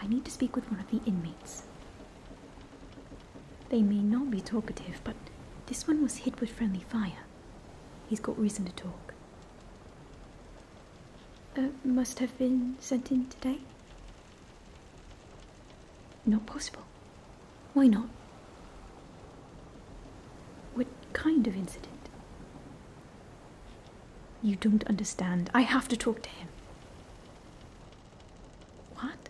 I need to speak with one of the inmates. They may not be talkative, but this one was hit with friendly fire. He's got reason to talk. Uh, must have been sent in today? Not possible. Why not? What kind of incident? You don't understand. I have to talk to him. What?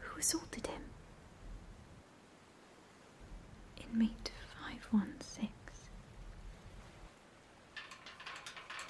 Who assaulted him? Inmate 516.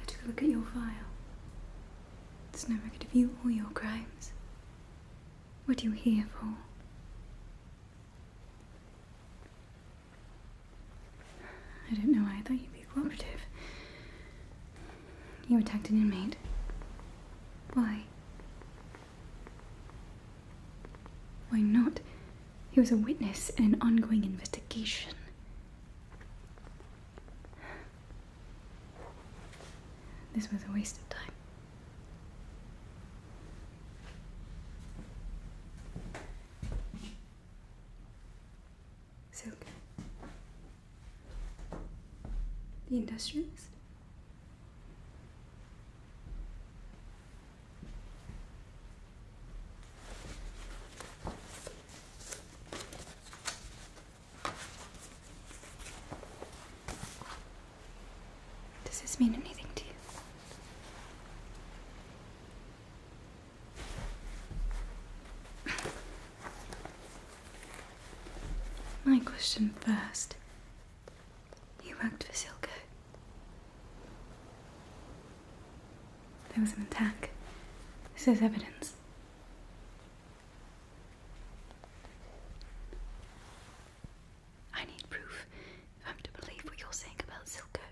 I took a look at your file. There's no record of you or your crimes. What are you here for? I don't know why I thought you'd be cooperative. You attacked an inmate. Why? Why not? He was a witness in an ongoing investigation. This was a waste of time. Silk. The industrialist. Does this mean anything to you? My question first. You worked for Silko. There was an attack. This is evidence. I need proof if I'm to believe what you're saying about Silco.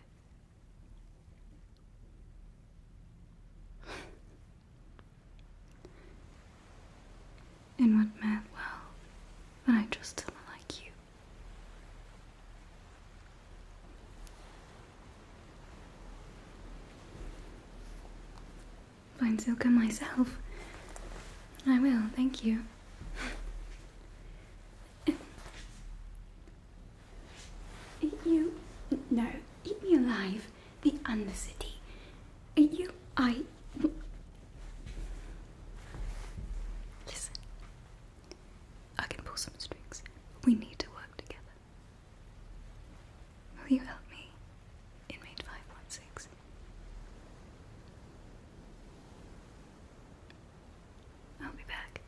In what mad world would I trust someone like you? Find Silka myself. I will, thank you. you. No, eat me alive. The Undercity. You. I. Listen. I can pull some strings. We need to work together. Will you help me? Inmate 516. I'll be back.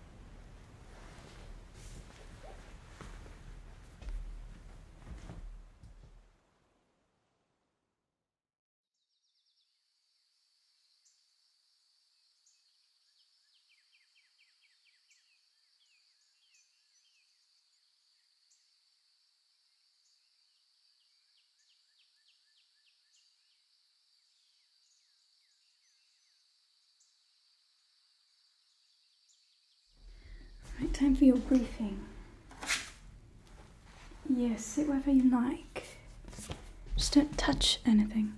Right, time for your briefing. Yes, sit wherever you like. Just don't touch anything.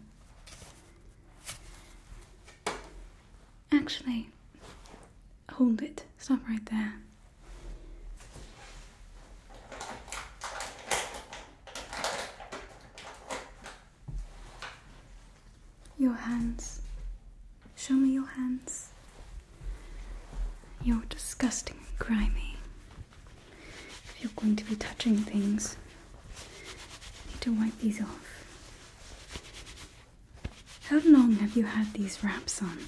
Actually, Hold it. Stop right there. Your hands. Show me your hands. You're disgusting and grimy. If you're going to be touching things, you need to wipe these off. How long have you had these wraps on?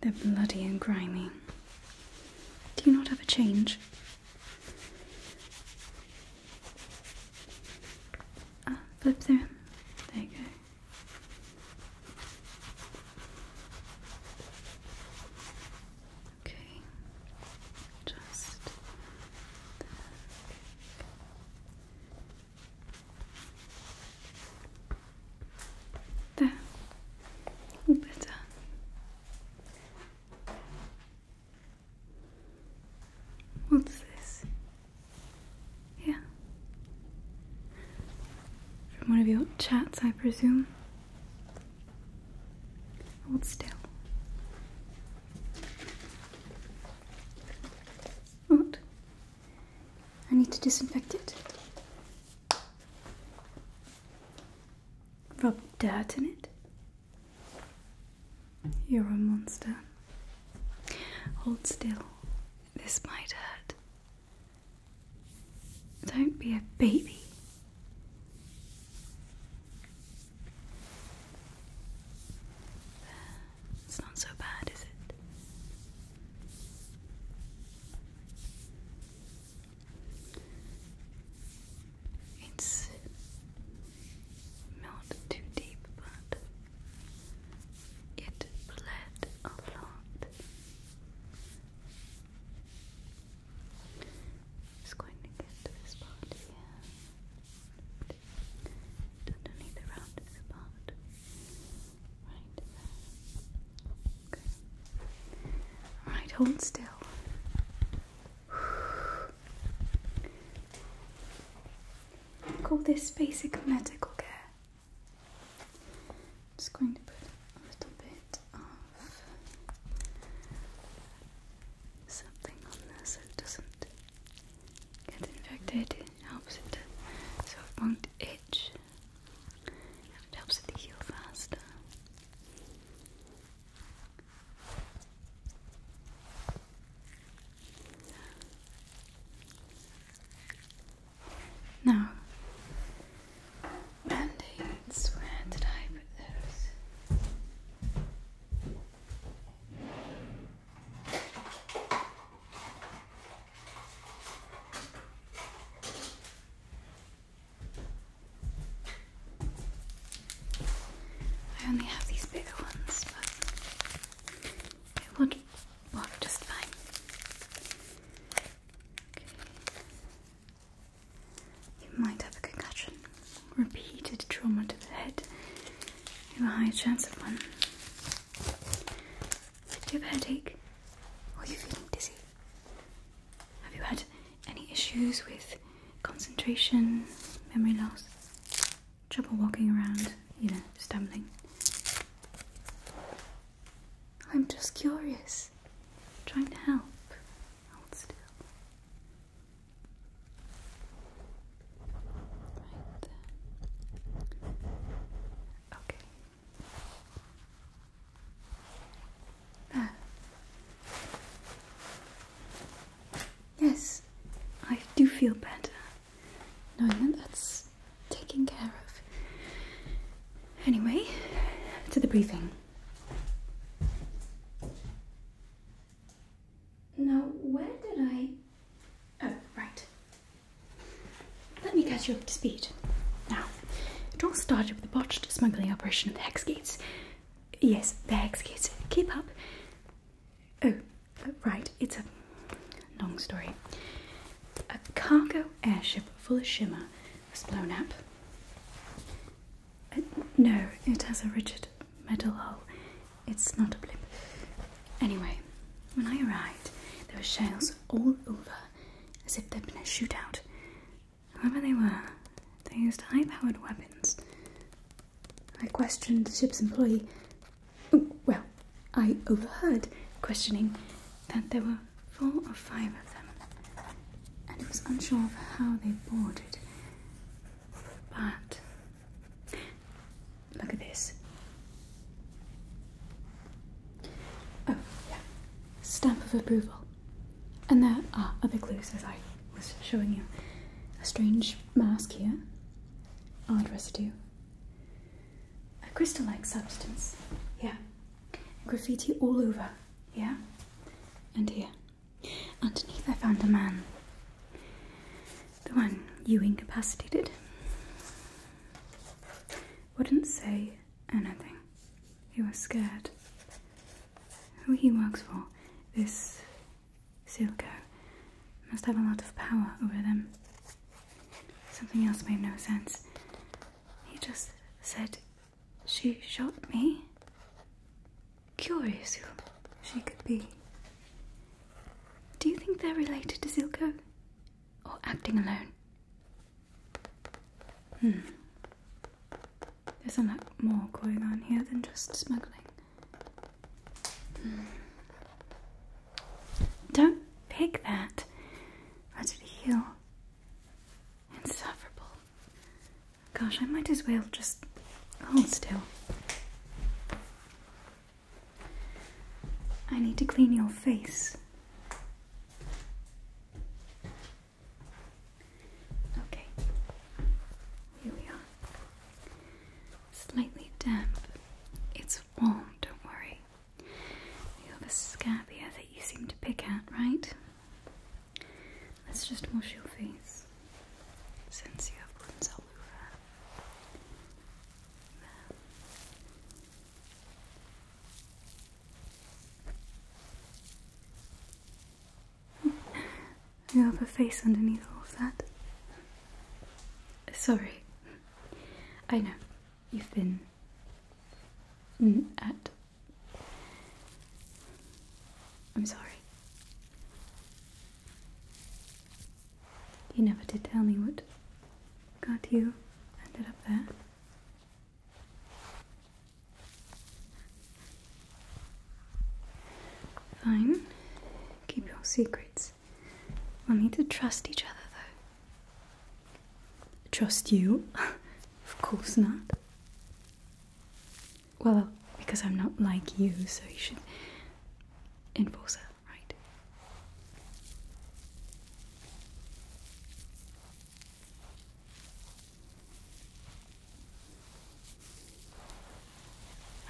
They're bloody and grimy. Do you not have a change? Ah, flip through. There you go. Okay, just there. There. better. What's this? Yeah. From one of your chats, I presume. Hold still. What? I need to disinfect it. Rub dirt in it. You're a monster. Hold still. This might hurt. Don't be a baby. It's not so bad, is it? It's not too deep, but it bled a lot. Just going to get to this part here underneath the roundest part. Right there. hold still. Call this basic medical care. i just going to put a little bit of something on this. so it doesn't Get infected, it so it to soft itch. helps it heal faster. Now, band where did I put those? I only have these bigger ones, but it would work just fine. You might have a concussion. Repeated trauma to the head you have a high chance of one. Do you have a headache? are you feeling dizzy? Have you had any issues with concentration, memory loss, trouble walking around, you know, stumbling? I'm just curious. trying to help. Hold still. Okay. Yes, I do feel better knowing that that's taken care of. Anyway, to the briefing. Now, where did I. Oh, right. Let me catch you up to speed. Now, it all started with a botched smuggling operation at the Hex Gates. Yes, the Hex Gates. Keep up. Oh, uh, right, it's a long story. A cargo airship full of shimmer was blown up. Uh, no, it has a rigid metal hull. It's not a blip. Anyway, when I arrived, there were shells all over, as if there'd been a shootout. Whoever they were, they used high-powered weapons. I questioned the ship's employee. well, I overheard questioning that there were four or five of them, and I was unsure of how they boarded. But Look at this. Oh, yeah. Stamp of approval. And there are other clues, as I was showing you. A strange mask here, odd residue, a crystal like substance, yeah. Graffiti all over, yeah. And here. Underneath, I found a man the one you incapacitated, wouldn't say anything. He was scared. Who he works for, this Silko must have a lot of power over them. Something else made no sense. He just said, She shot me curious she could be. Do you think they're related to Zilko? Or acting alone? Hmm. There's a lot more going on here than just smuggling. Hmm. Don't pick that. Let it heal. Insufferable. Gosh, I might as well just hold still. I need to clean your face. Okay, here we are. Slightly damp. It's warm, don't worry. You have a scab here that you seem to pick at, right? Let's just wash your face since you have Bunzaluva, you have a face underneath all of that. Sorry, I know you've been at. I'm sorry. You never did tell me what got you ended up there. Fine. Keep your secrets. We'll need to trust each other, though. Trust you? of course not. Well, because I'm not like you, so you should. Enforcer, right?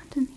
Underneath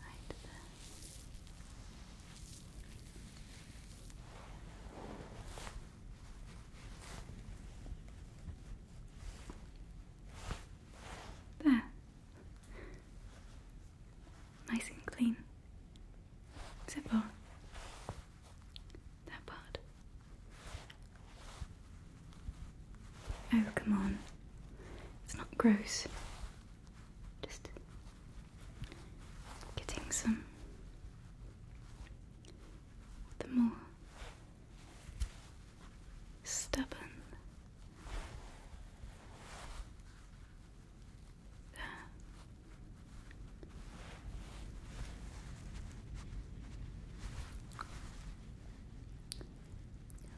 right there. There. Nice and clean. Except for that part. Oh, come on. It's not gross. Just getting some the more stubborn there.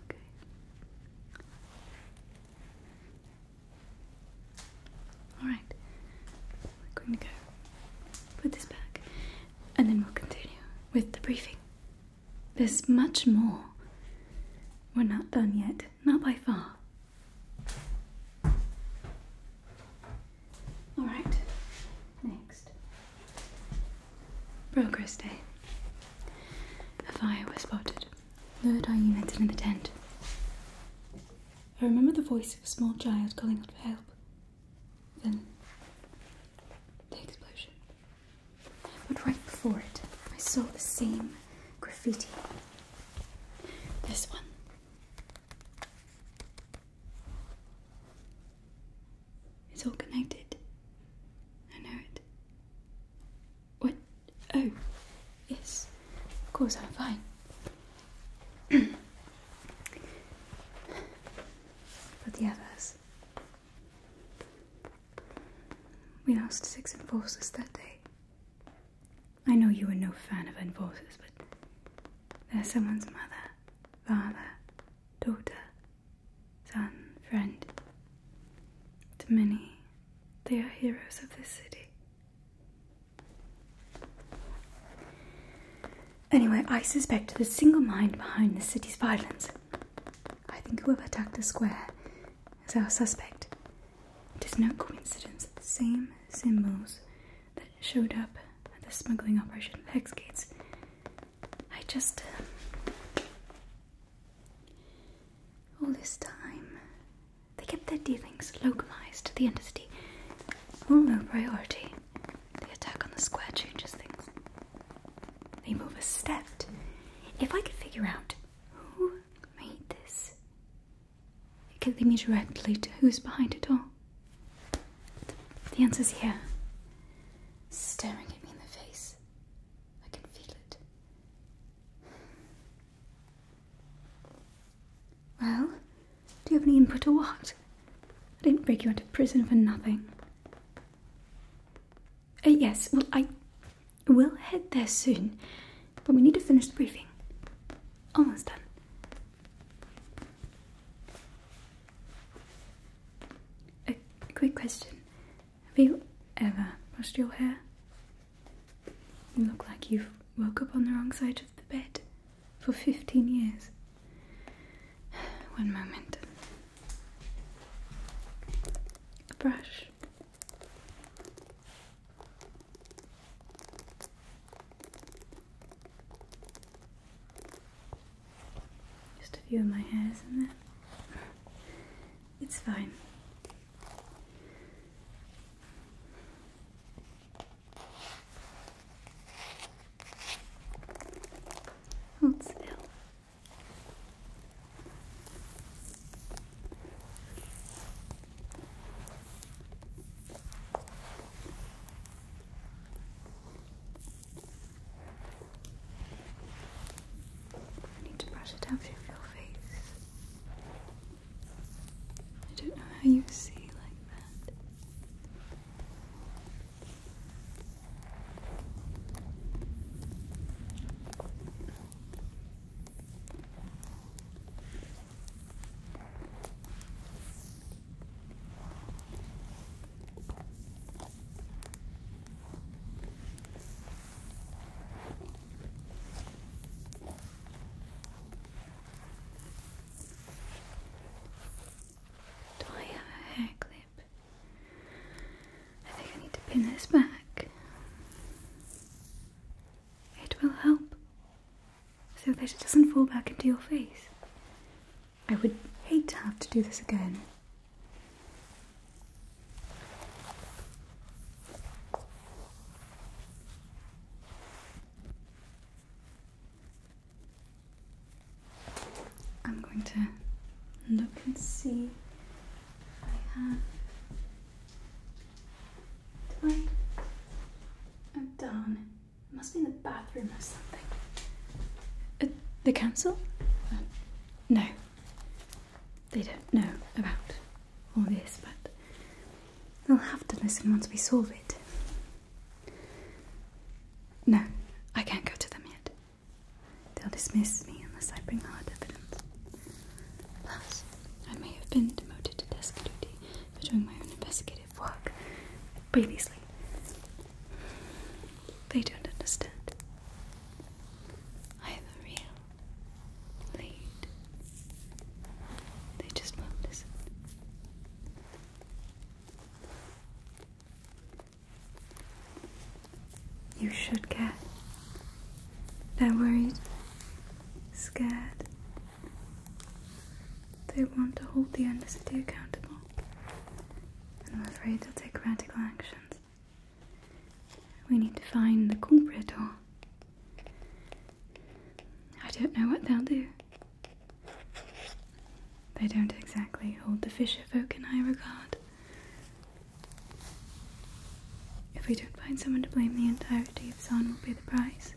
Okay. Alright, we're going to go put this back and then we'll continue with the briefing. There's much more. We're not done yet, not by far. Alright, next. Progress Day. A fire was spotted Lured our units in the tent. I remember the voice of a small child calling out for help. Then the explosion. But right before it, I saw the same graffiti. This one. It's all connected. I know it. What Oh, yes, of course I'm fine. but the others. We lost six enforcers that day. I know you are no fan of enforcers, but they're someone's mother, father, daughter, done, friend. To many, they are heroes of this city. Anyway, I suspect the single mind behind the city's violence. I think whoever attacked the square is our suspect. It is no coincidence that the same symbols that showed up at the smuggling operation of Hexgates. I just. All this time, they kept their dealings localized to the entity. All no priority. The attack on the square changes things. they move a step. If I could figure out who made this, it could lead me directly to who's behind it all. The answer's here, staring at me in the face. I can feel it. Well, do you have any input or what? I didn't break you out of prison for nothing. Uh, yes, well, I will head there soon, but we need to finish the briefing. Almost done. A quick question. Have you ever brushed your hair? You look like you've woke up on the wrong side of the bed for 15 years. One moment. A brush. Just a few of my hairs in there. It's fine. Hold still. I need to brush it out of your face. I don't know how you see like that. Do I have a hair clip? I think I need to pin this back. It will help so that it doesn't fall back into your face. I would hate to have to do this again. I'm going to look and see I have. Do I? Oh, darn. It must be in the bathroom or something. Uh, the council? Uh, no they don't know about all this, but they'll have to listen once we solve it. No, I can't go to them yet. They'll dismiss me unless I bring hard evidence. Plus, I may have been demoted to desk duty for doing my own investigative work previously. They don't understand. I have a real lead. They just won't listen. You should get they're worried, scared. They want to hold the embassy accountable, and I'm afraid they'll take radical actions. We need to find the culprit or. I don't know what they'll do. They don't exactly hold the fisher folk in high regard. If we don't find someone to blame, the entirety of San will pay the price.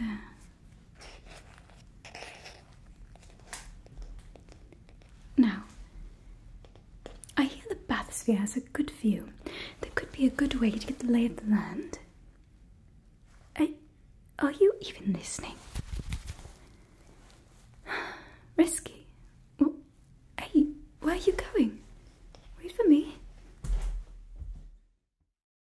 There. Now, I hear the bathysphere has a good view. There could be a good way to get the lay of the land. Eh, are you even listening? Risky. hey, where are you going? Wait for me.